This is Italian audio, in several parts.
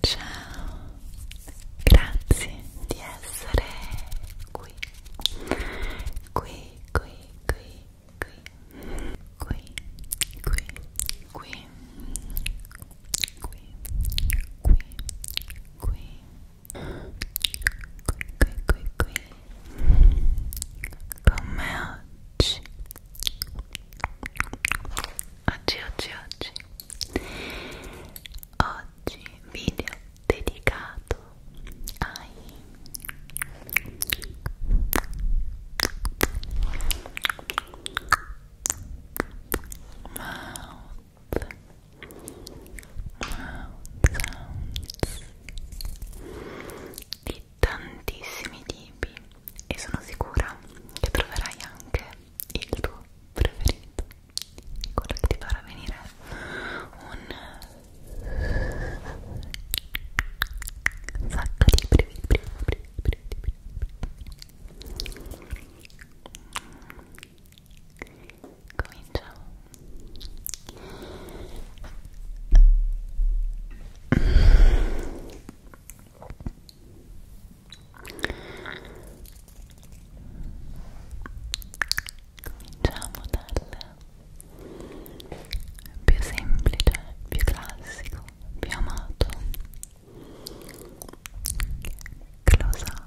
Ciao, grazie di essere qui, qui, qui, qui, qui, qui, qui, qui, qui, qui, qui qui qui qui con me oggi oggi oggi oggi oggi video dedicato ai mouth mouth sounds di tantissimi tipi e sono sicura che troverai anche il tuo preferito quello che ti farà venire un sacco di brividi brividi brividi brividi brividi cominciamo cominciamo dal più semplice, più classico, più amato close up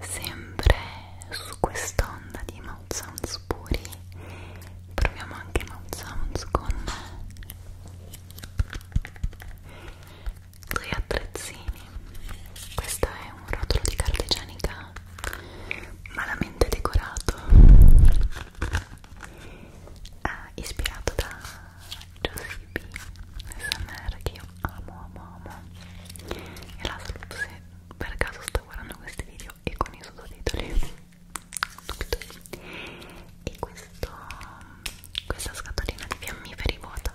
Sempre su quest'onda di mouth sounds puri proviamo anche mouth sounds con due attrezzini. Questo è un rotolo di carta igienica malamente decorato eh, ispirato da Josie B SMR che io amo amo amo e la saluto se per caso sto guardando questi video e con i sottotitoli e questo, questa scatolina di fiammiferi vuota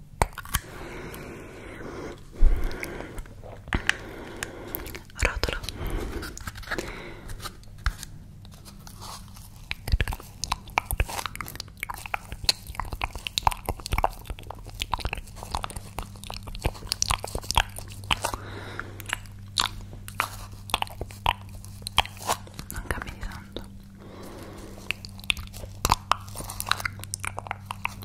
Rotolo. Non cambia di tanto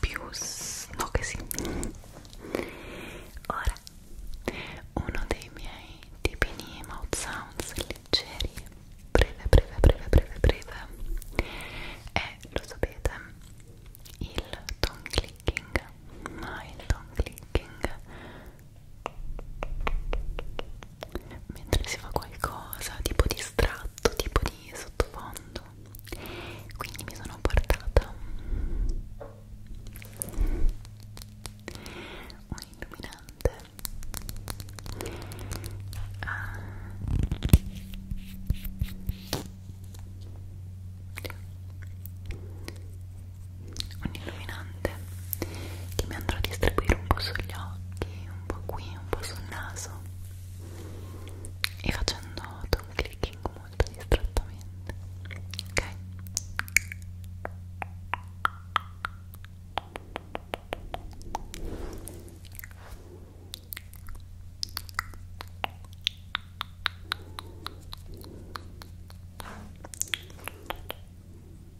più no che sì ora uno dei miei tipini mouth sounds leggeri breve breve breve breve breve è lo sapete il tongue clicking ma il tongue clicking mentre si fa qualcosa tipo distratto, tipo di sottofondo quindi mi sono portata un illuminante ah un illuminante che mi andrò a distribuire un po' sugli occhi, un po' qui, un po' sul naso e facendo un clicking molto distrattamente ok? ok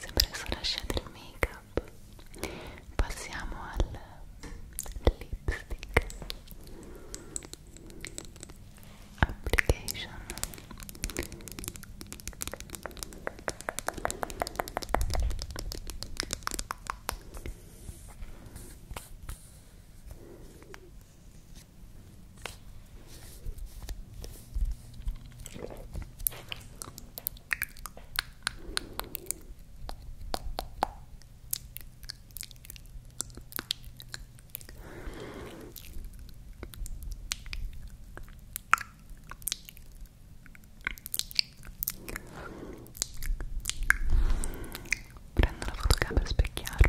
se presto lasciate il make up passiamo al lipstick application Prendo la fotocamera per specchiarmi.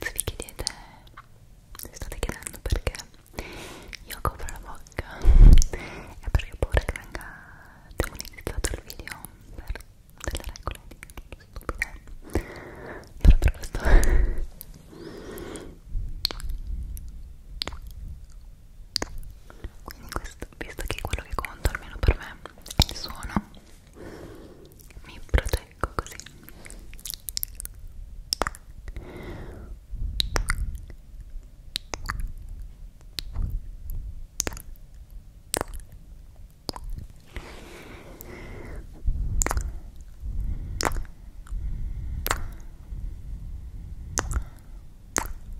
Se vi chiedete, se state chiedendo perché io copro la bocca, è perché ho paura che venga demonizzato il video per delle regole di stupide. Però per questo quindi questo, visto che quello che conta almeno per me è il suono mi proteggo così Ecco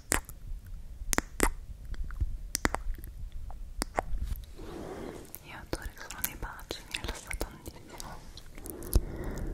Io adoro il suono dei baci, mi rilassa tantissimo il sorriso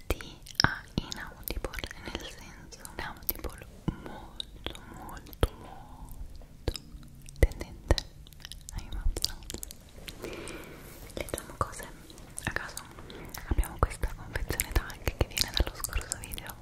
questi a inaudible nel senso inaudible molto molto molto tendente ai mouth leggiamo cose a caso abbiamo questa confezione tag che viene dallo scorso video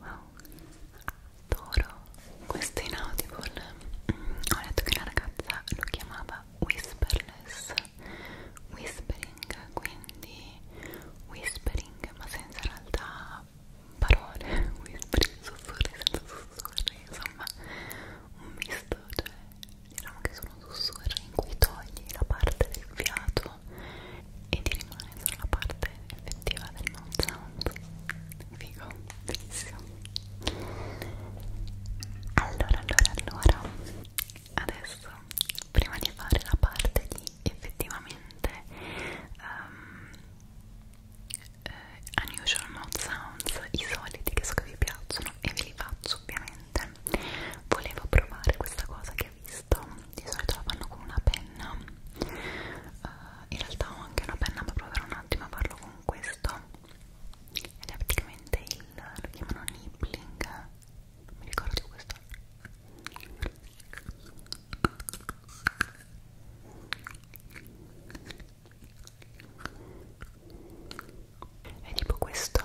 Wow, adoro questo in Audible. Mm, ho letto che una ragazza lo chiamava Whisperless Whispering, quindi Whispering ma senza in realtà parole Whispering, sussurri senza sussurri, insomma un misto, cioè diciamo che sono sussurri in cui togli la parte del fiato e ti rimane solo la parte effettiva del mouth sound figo, bellissimo allora, allora, allora adesso prima di fare la parte di effettivamente um, uh, unusual mouth sounds i soliti che so che vi piacciono e ve li faccio ovviamente niente volevo provare questa cosa che ho visto di solito la fanno con una penna uh, in realtà ho anche una penna ma proverò un attimo a farlo con questo ed è praticamente il lo chiamano nibbling non mi ricordo di questo è tipo questo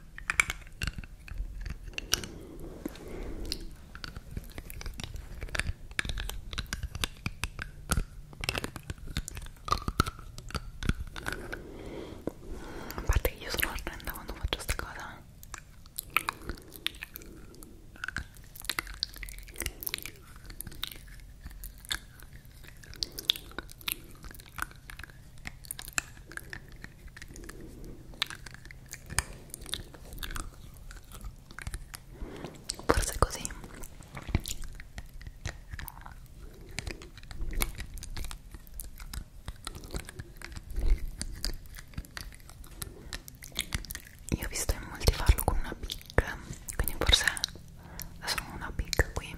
A parte che io sono orrenda quando faccio sta cosa Forse così. Io ho visto in molti farlo con una big, quindi forse adesso una big qui.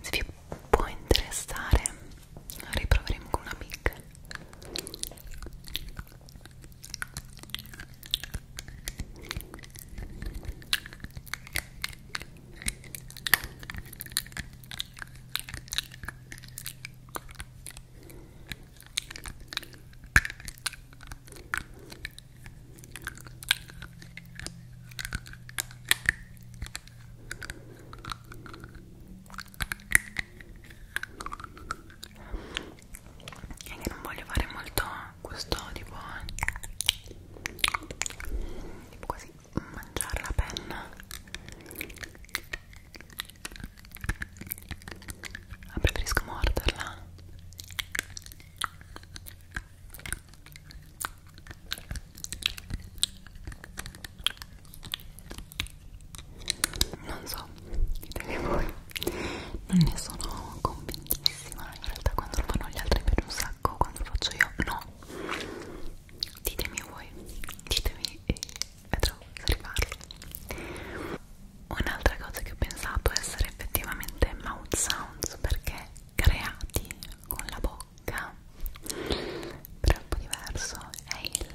Se vi può interessare riproveremo con una mic e che non voglio fare molto questo tipo eh, tipo così mangiare la penna ma preferisco morderla non so, ditemi voi non ne sono convintissima in realtà quando lo fanno gli altri mi piace un sacco quando lo faccio io no ditemi voi ditemi e vedrò se riparlo un'altra cosa che ho pensato essere effettivamente mouth sounds perché creati con la bocca però è un po' diverso è il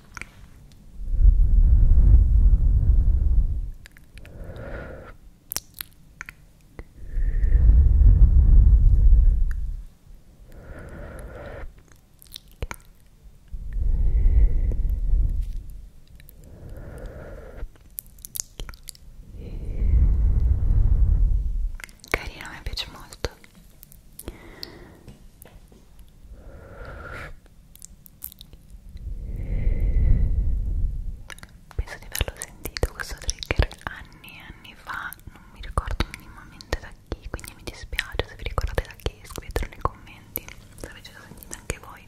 Carina, mi piace molto penso di averlo sentito questo trigger anni e anni fa non mi ricordo minimamente da chi quindi mi dispiace se vi ricordate da chi scrivetelo nei commenti se avete già sentito anche voi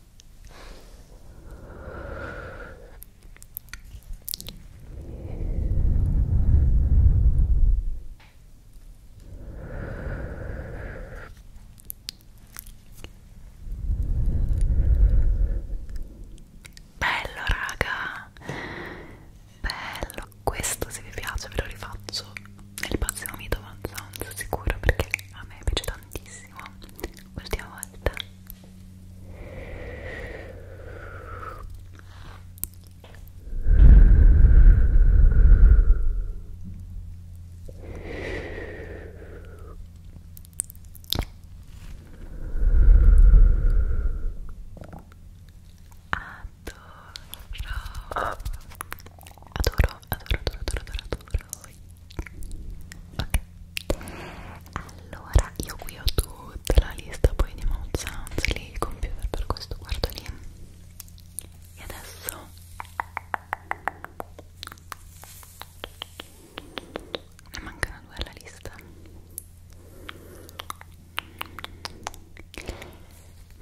Bello raga, bello, questo se vi piace ve lo rifaccio nel prossimo video one sound sicuro perché a me piace tantissimo benissimo ultima volta Adoro, adoro, adoro, adoro, adoro, adoro, adoro ok allora io qui ho tutta la lista poi di mouth sounds lì il computer per questo guardo lì e adesso ne mancano due alla lista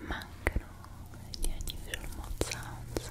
mancano gli unusual mouth sounds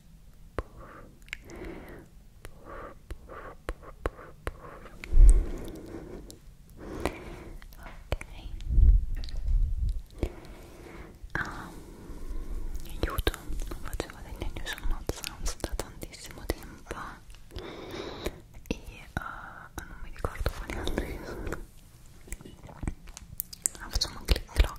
ok ah, aiuto non facevo degli unusual mouth sounds da tantissimo tempo e uh, non mi ricordo quali altri sono ah, facciamo un click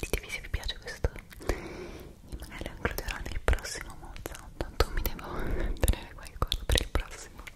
Ditemi se vi piace questo e magari lo includerò nel prossimo mozzo. Tanto mi devo tenere qualcosa per il prossimo.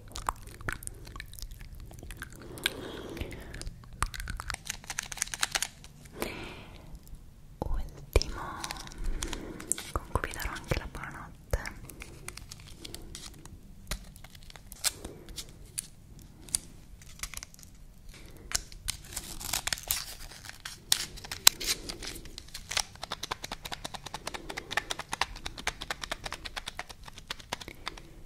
Ultimo con cui vi darò anche la buonanotte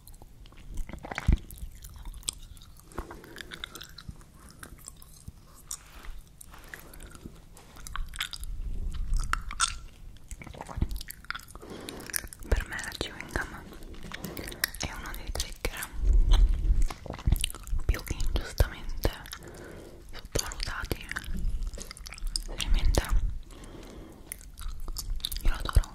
Per me la chewing gum è uno dei trigger più che ingiustamente sottovalutati veramente io l'adoro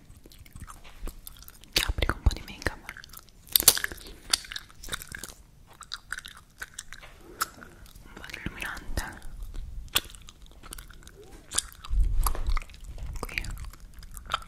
applico un po' di make up un po' di illuminante qui qui un po' sulla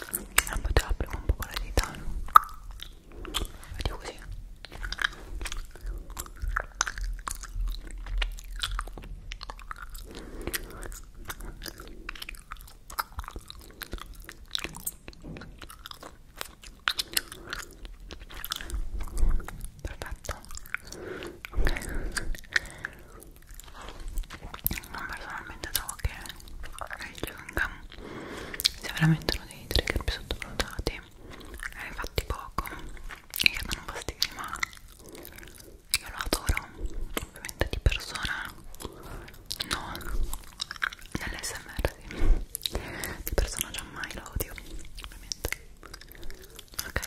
Allora ah, te la prendo un po' con la dita Vedi così perfetto ok ma personalmente trovo che il Gangam sia veramente uno dei trigger più sottovalutati e eh, fatti poco e che danno fastidio ma io lo adoro ovviamente di persona no nell'SMR sì di personaggio mai lo odio ovviamente ok ok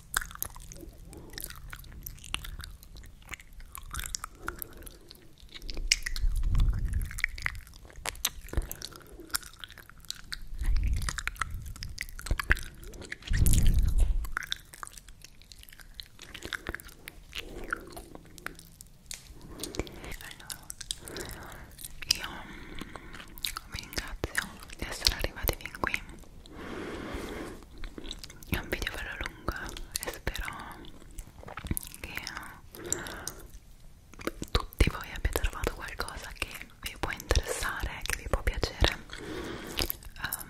Allora, io mm, vi ringrazio di essere arrivati fin qui è un video bello lungo e spero che eh, tutti voi abbiate trovato qualcosa che vi può interessare, che vi può piacere um,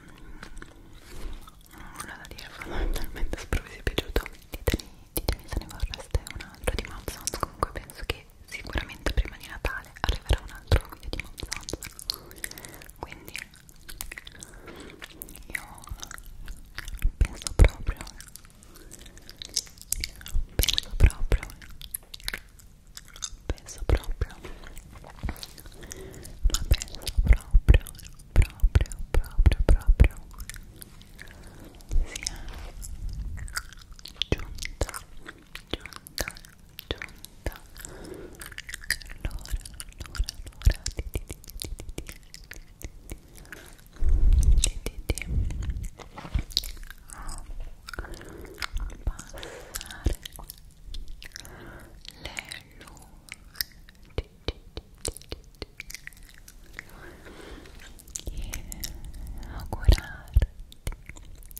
non ho da dire fondamentalmente spero vi sia piaciuto ditemi, ditemi se ne vorreste un altro di Mount Sounds comunque penso che sicuramente prima di Natale arriverà un altro video di Mount Sounds quindi io penso proprio penso proprio penso proprio ma penso proprio proprio proprio proprio sia giunta giunta giunta l'ora, l'ora, l'ora di di di di di di di di di passare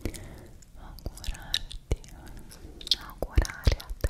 le luci e augurarti augurarti augurare a te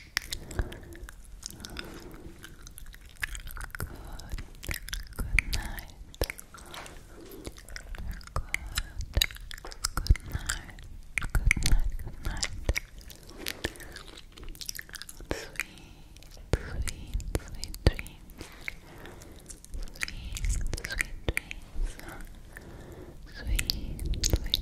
Good night. Good, good night. Good night. Good night. Sweet, sweet, sweet dreams. Sweet, sweet dreams. Sweet, sweet dreams.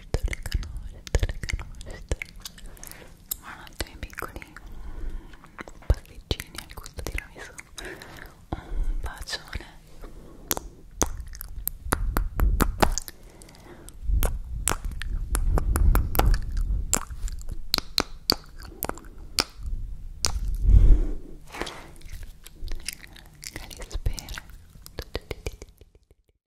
conosco, le conosco, le conosco Buonanotte miei piccoli pasticcini al gusto di ramiso Un bacione Calispera